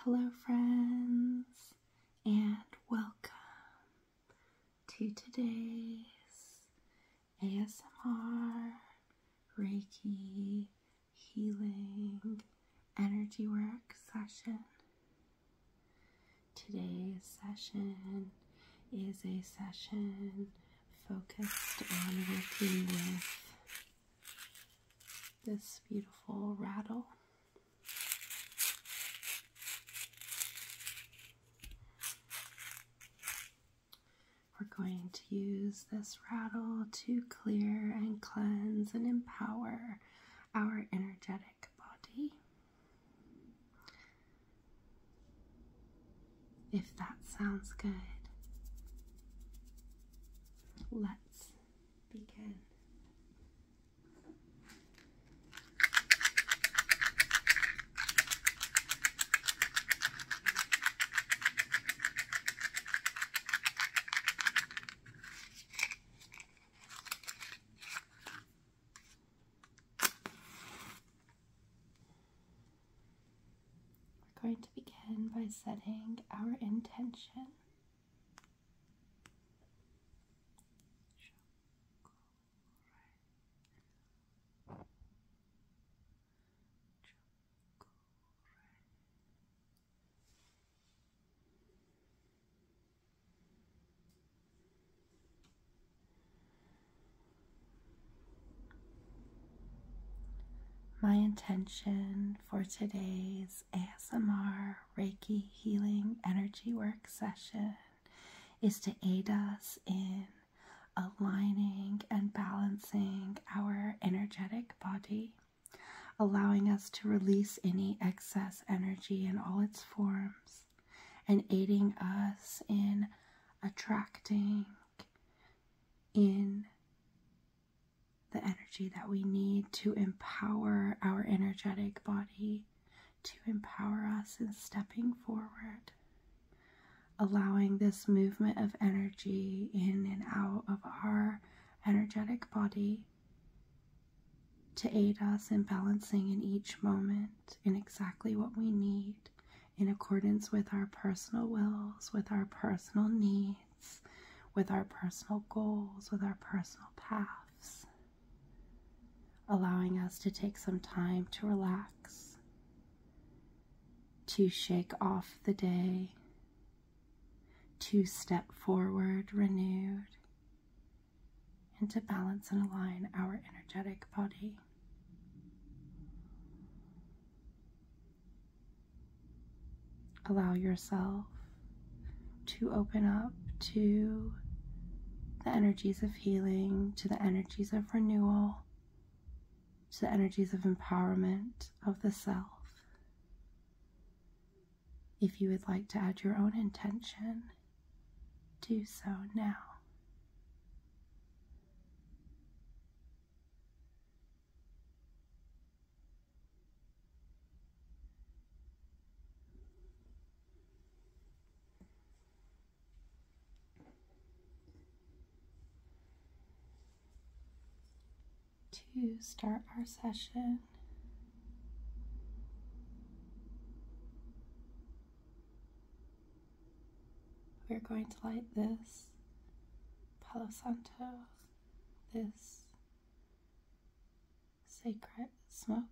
Hello, friends, and welcome to today's ASMR Reiki Healing Energy Work session. Today's session is a session focused on working with this beautiful rattle. We're going to use this rattle to clear and cleanse and empower our energetic body if that sounds good. Let's begin. We're going to begin by setting our intention. My intention for today's ASMR Reiki Healing Energy Work session is to aid us in aligning and balancing our energetic body, allowing us to release any excess energy in all its forms, and aiding us in attracting in the energy that we need to empower our energetic body, to empower us in stepping forward, allowing this movement of energy in and out of our energetic body to aid us in balancing in each moment in exactly what we need in accordance with our personal wills, with our personal needs, with our personal goals, with our personal paths, allowing us to take some time to relax, to shake off the day, to step forward renewed, and to balance and align our energetic body. Allow yourself to open up to the energies of healing, to the energies of renewal, to the energies of empowerment of the self. If you would like to add your own intention, do so now to start our session. We're going to light this Palo Santo, this sacred smoke.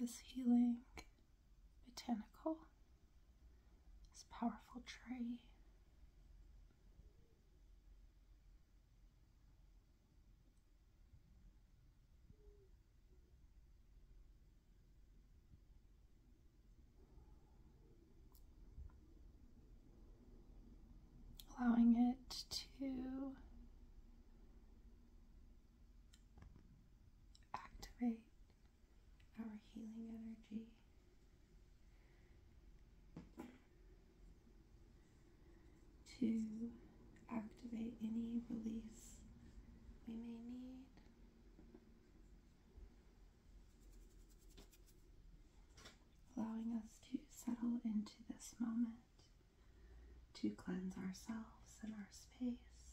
This healing botanical, this powerful tree allowing it to activate our healing energy. To activate any release we may need. Allowing us to settle into this moment, to cleanse ourselves and our space,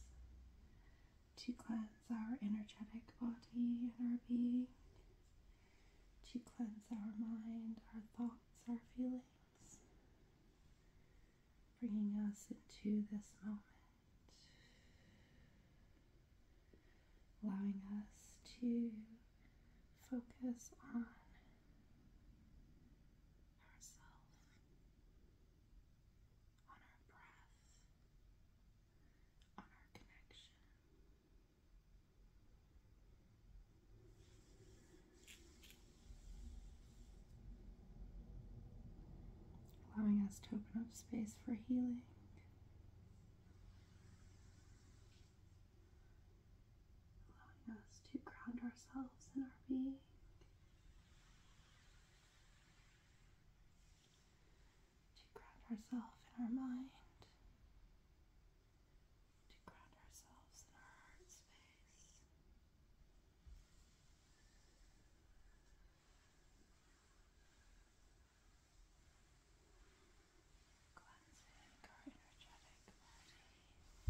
to cleanse our energetic body and our being, to cleanse our mind, our thoughts, our feelings bringing us into this moment, allowing us to focus on ourselves, on our breath, on our connection allowing us to open up space for healing. Allowing us to ground ourselves in our being. To ground ourselves in our mind. To ground ourselves in our heart space. Cleansing our energetic body. Shukure, shukure, shukure.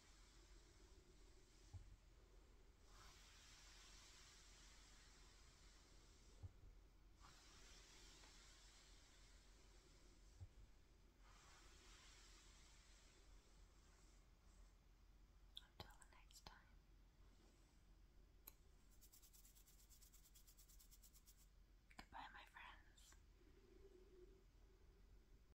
Until the next time. Goodbye, my friends.